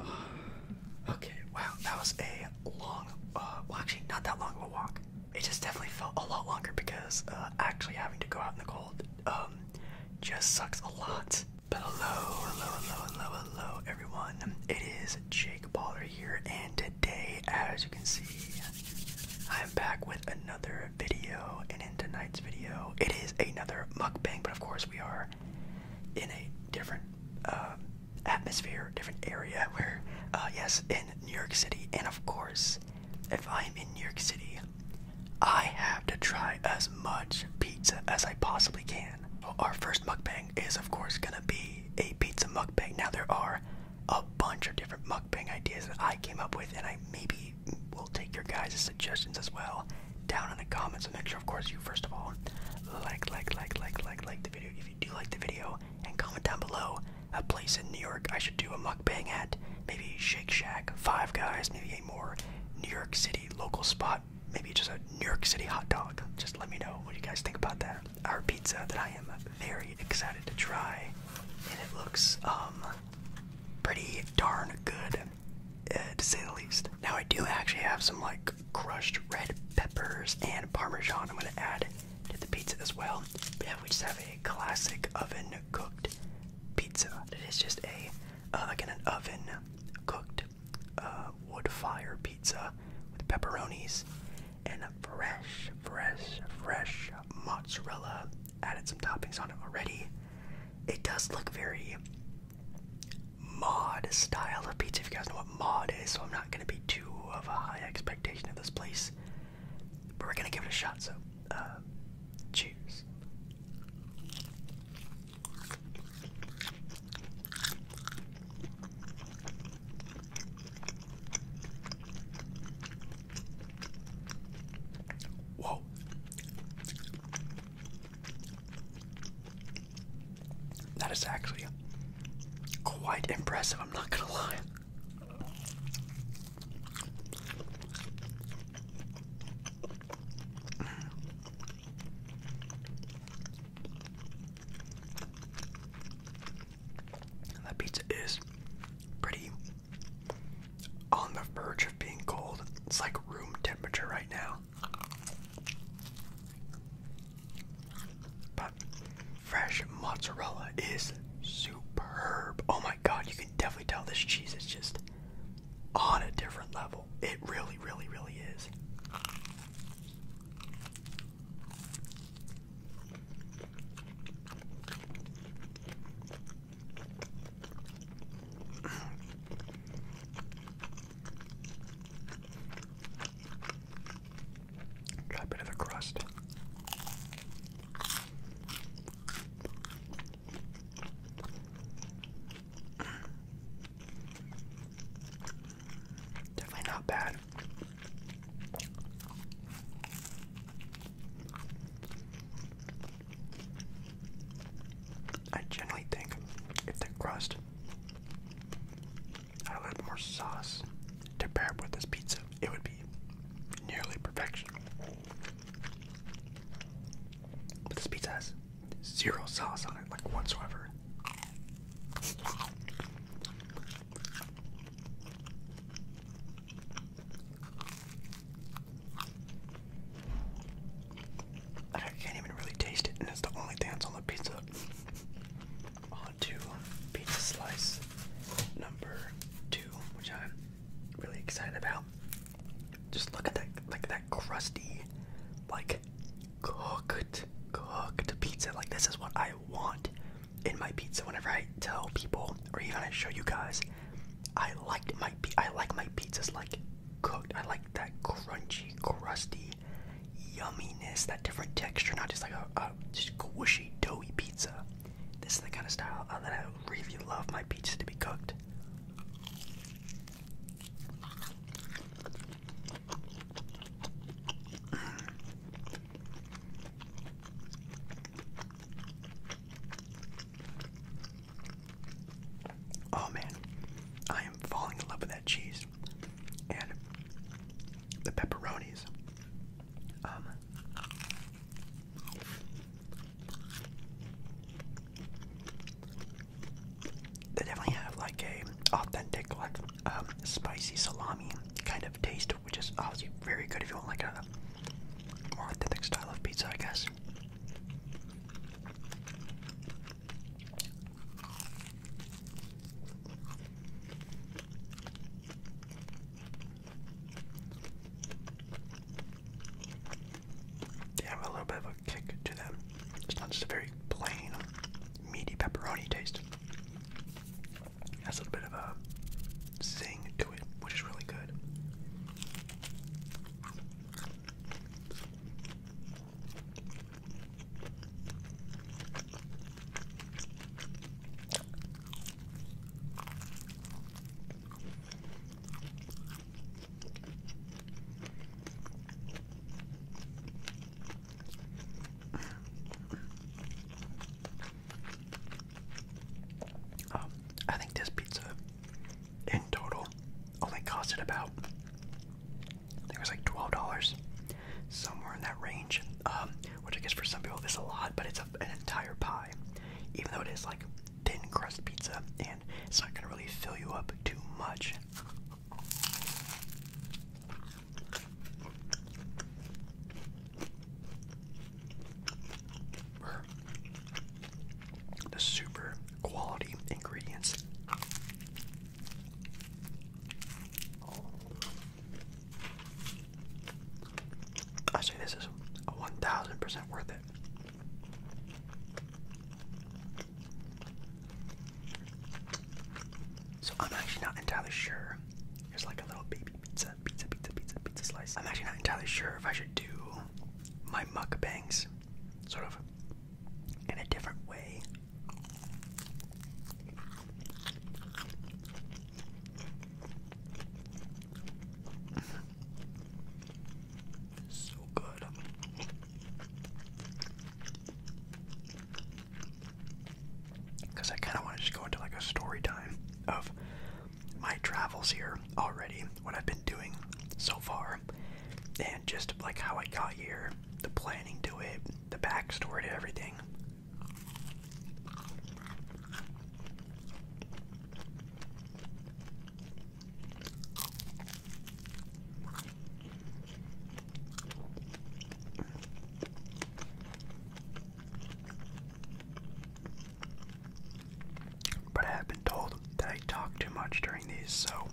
Okay, wow, that was a long, uh, well, actually, not that long of a walk. It just definitely felt a lot longer because uh, actually having to go out in the cold um, just sucks a lot. But hello, hello, hello, hello, hello, everyone. It is Jake Baller here, and today, as you can see, I'm back with another video, and in tonight's video, it is another mukbang, but of course, we are in a different um, atmosphere, different area. Where, uh, yes, in New York City, and of course, if I'm in New York City, I have to try as much pizza as I possibly can. Our first mukbang is, of course, gonna be a pizza mukbang. Now, there are a bunch of different mukbang ideas that I came up with, and I maybe will take your guys' suggestions as well down in the comments So make sure of course you first of all like like like like like like the video if you do like the video and comment down below a place in New York I should do a mukbang at maybe Shake Shack Five Guys maybe a more New York City local spot maybe just a New York City hot dog just let me know what you guys think about that our pizza that I am very excited to try and it looks um pretty darn good to say the least. Now I do actually have some like crushed red peppers and parmesan. I'm gonna add to the pizza as well. yeah, we just have a classic oven cooked pizza. It is just a uh, again an oven cooked uh, wood fire pizza with pepperonis and fresh, fresh, fresh mozzarella. Added some toppings on it already. It does look very mod style of pizza if you guys know what mod is so i'm not going to be too of a high expectation of this place but we're going to give it a shot so uh, cheers Whoa. That is actually quite impressive, I'm not gonna lie. That pizza is pretty on the verge of being cold. It's like room temperature right now. But fresh mozzarella is superb. Oh my god, you can definitely tell this cheese is just on a different level. It really, really, really is. Try a bit of the crust. Definitely not bad. I generally think if the crust had more sauce to pair with this pizza, it would be nearly perfection. But this pizza has zero sauce on it, like whatsoever. I can't even really taste it, and it's the only dance on the pizza. On to pizza slice number two, which I'm really excited about. Just look at that, like that crusty, like cooked, cooked pizza. Like this is what I want in my pizza. Whenever I tell people, or even I show you guys, I like my I like my pizzas like cooked. I like that crunchy, crusty yumminess, that different texture, not just like a, just squishy, doughy pizza. This is the kind of style uh, that I really love my pizza to be cooked. Oh man, I am falling in love with that cheese and the pepperonis. Um, they definitely have like a authentic, like um, spicy salami kind of taste, which is obviously very good if you want like a more authentic style of pizza, I guess. They have a little bit of a kick to them. It's not just a very plain, meaty pepperoni taste. It has a little bit of a zing to it, which is really good. Oh, I think this pizza in total only oh costed about it was like twelve dollars, somewhere in that range. Um, which I guess for some people this is a lot, but it's an entire pie, even though it is like thin crust pizza, and it's not gonna really fill you up too much the super quality ingredients. I say this is a 1000% worth it. So I'm actually not entirely sure. Here's like a little baby pizza, pizza, pizza, pizza, pizza slice. I'm actually not entirely sure if I should do my mukbangs, sort of in a different way. so good. Because I kind of want to just go into like a story time of my travels here already, what I've been doing so far, and just like how I got here, the planning to it, the backstory to everything. But I have been told that I talk too much during these, so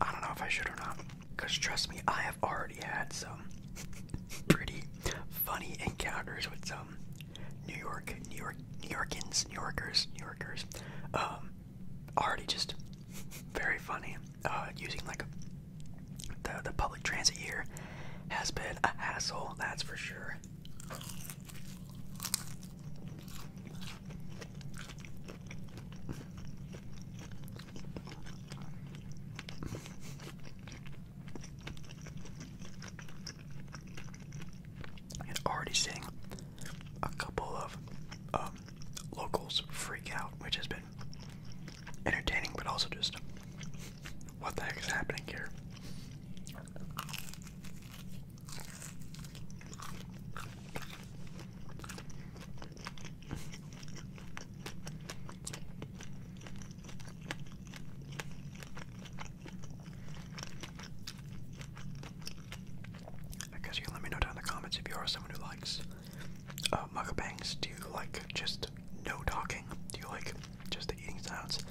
I don't know if I should or not. Because trust me, I have already had some pretty funny encounters with some New York, New York, New Yorkers, New Yorkers. Um, already just very funny. Uh, using like the, the public transit here has been a hassle, that's for sure. And already seeing a couple of um, locals freak out, which has been entertaining, but also just what the heck is happening here? I you let me know down in the comments if you are someone who likes uh, mukbangs. Do you like just no talking? Do you like just the eating sounds? Do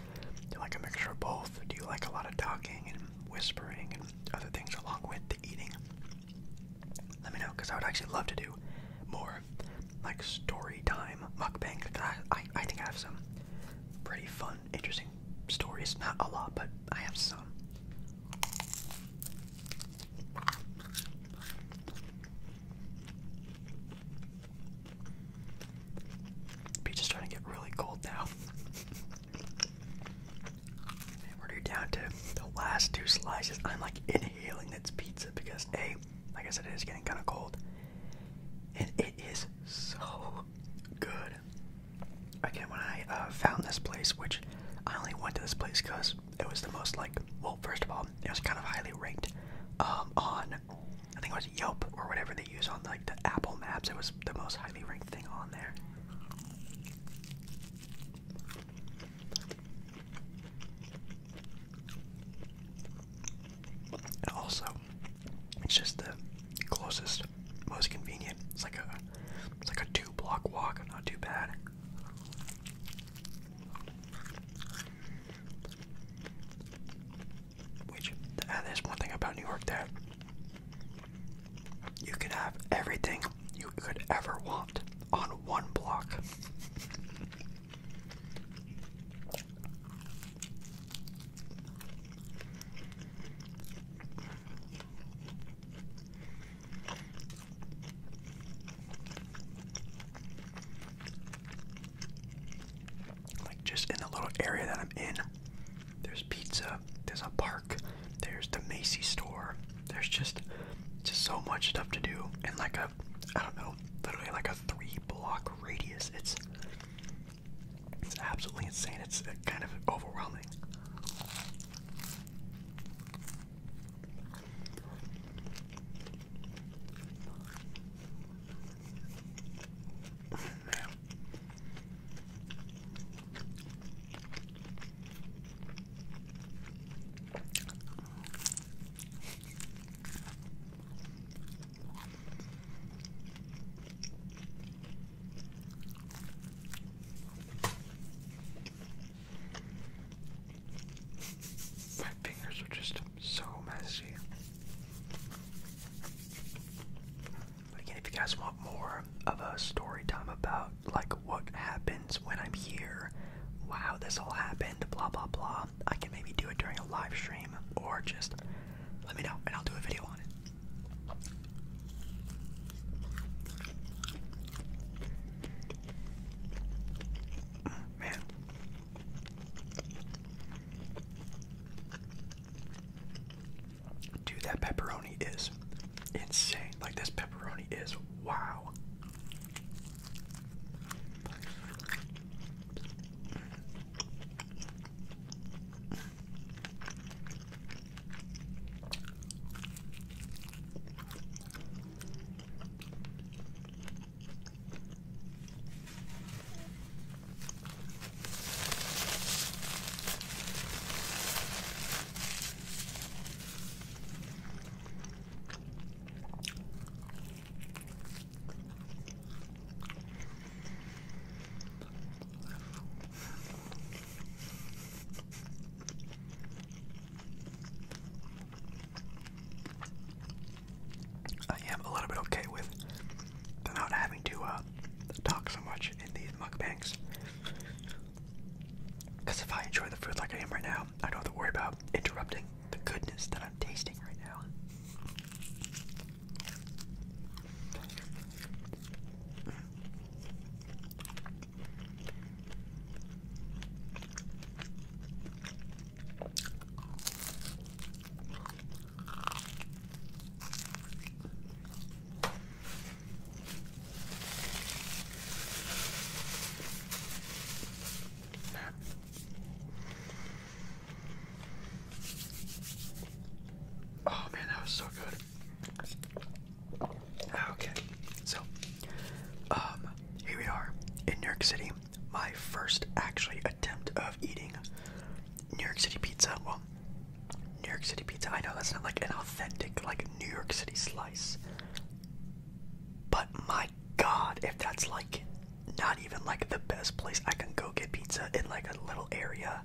you like a mixture of both? Do you like a lot of talking and whispering and other things along with eating, let me know because I would actually love to do more like story time mukbang. I, I, think I have some pretty fun, interesting stories. Not a lot, but I have some. Beach is trying to get really cold now. we're down to the last two slices. I'm like inhaling this pizza because A, like I said, it is getting kind of cold. And it is so good. Again, when I uh, found this place, which I only went to this place because it was the most like, well, first of all, it was kind of highly ranked um, on, I think it was Yelp or whatever they use on like the Apple Maps. It was the most highly ranked thing on there also, it's just the closest, most convenient. It's like a, it's like a two-block walk. Not too bad. Which, uh, there's one thing about New York that you can have everything you could ever want on one block. Like just in the little area that I'm in, there's pizza. There's a park. There's the Macy's store. There's just just so much stuff to do in like a I don't know, literally like a three block radius. It's it's absolutely insane. It's kind of overwhelming. My fingers are just so messy. Again, if you guys want more of a story time about like what happens when I'm here, wow, this all happened, blah blah blah, I can maybe do it during a live stream or just let me know and I'll do a video on it. Man. Dude, that pepperoni is insane. Like, this pepperoni is wow. I am a little bit okay with not having to uh, talk so much in these mukbangs. Because if I enjoy the food like I am right now, I don't have to worry about interrupting the goodness that I'm tasting right now. Oh man, that was so good. Okay, so um, here we are in New York City. My first actually attempt of eating New York City pizza. Well, New York City pizza. I know that's not like an authentic, like New York City slice. But my god, if that's like not even like the best place I can go get pizza in like a little area.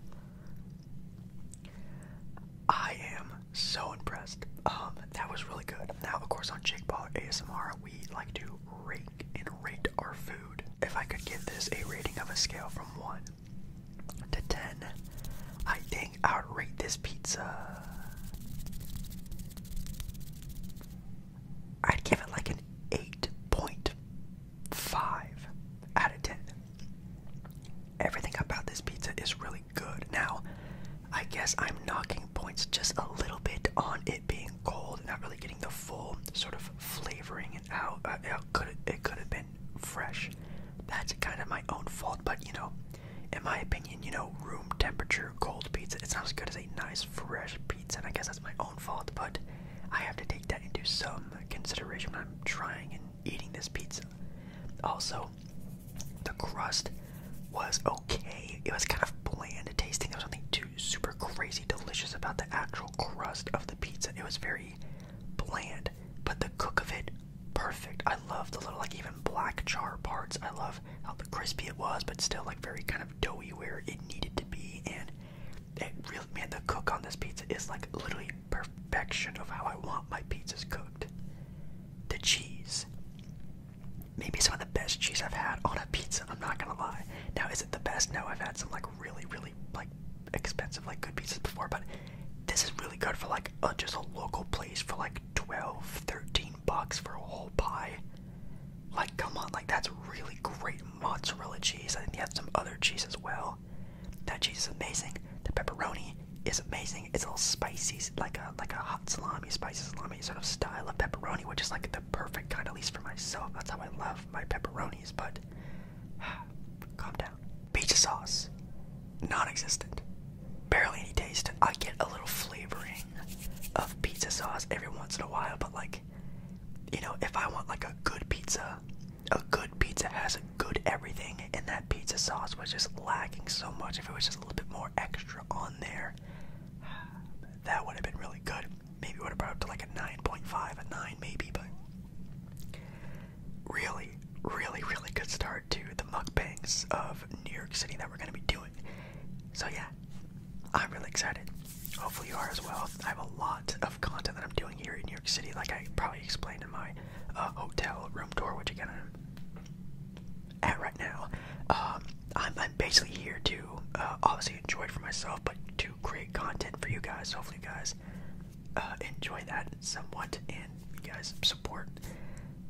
I am so impressed. Um, that was really good. Now, of course, on Jake Ball ASMR, we like to rate and rate our food. If I could give this a rating of a scale from 1 to 10. I think I would rate this pizza. I'd give it like an 8.5 out of 10. Everything about this pizza is really good. Now, I guess I'm knocking points just a little bit on it being cold, not really getting the full sort of flavoring and how uh, it could it could have been fresh. That's kind of my own fault, but you know, in my opinion, you know, room temperature cold pizza. It's not as good as a nice fresh pizza, and I guess that's my own fault, but I have to take that into some consideration when I'm trying and eating this pizza. Also, the crust was okay. It was kind of bland tasting. There was nothing too super crazy delicious about the actual crust of the pizza. It was very bland, but the cook of it perfect. I love the little, like, even black char parts. I love how crispy it was, but still, like, very kind of doughy where it needed to be. And it really, man, the cook on this pizza is, like, literally perfection of how I want my pizzas cooked. The cheese. Maybe some of the best cheese I've had on a pizza, I'm not gonna lie. Now, is it the best? No, I've had some, like, really, really, like, expensive, like, good pizzas before, but this is really good for like uh, just a local place for like 12, 13 bucks for a whole pie. Like, come on, like that's really great mozzarella cheese. I think they had some other cheese as well. That cheese is amazing. The pepperoni is amazing. It's a little spicy, like a like a hot salami, spicy salami sort of style of pepperoni, which is like the perfect kind, at least for myself. That's how I love my pepperonis. But calm down. Pizza sauce non-existent. Barely any taste. I get a little flavoring of pizza sauce every once in a while, but like, you know, if I want like a good pizza, a good pizza has a good everything, and that pizza sauce was just lacking so much. If it was just a little bit more extra on there, that would have been really good. Maybe it would have brought up to like a 9.5, a 9 maybe, but really, really, really good start to the mukbangs of New York City that we're gonna be doing. So yeah, I'm really excited. Hopefully you are as well. I have a lot of content that I'm doing here in New York City, like I probably explained in my uh, hotel room tour, which again I'm at right now. Um, I'm, basically here to uh, obviously enjoy it for myself, but to create content for you guys. Hopefully you guys uh, enjoy that somewhat. And you guys support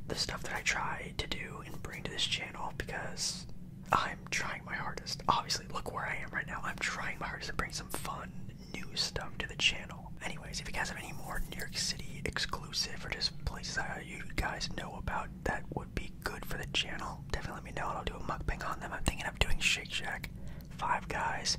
the stuff that I try to do and bring to this channel because I'm trying my hardest. Obviously, look where I am right now. I'm trying my hardest to bring some fun, new stuff to the channel. Anyways, if you guys have any more New York City exclusive or just places that you guys know about that would be good for the channel, definitely let me know and I'll do a mukbang on them. I'm thinking of doing Shake Shack, Five Guys,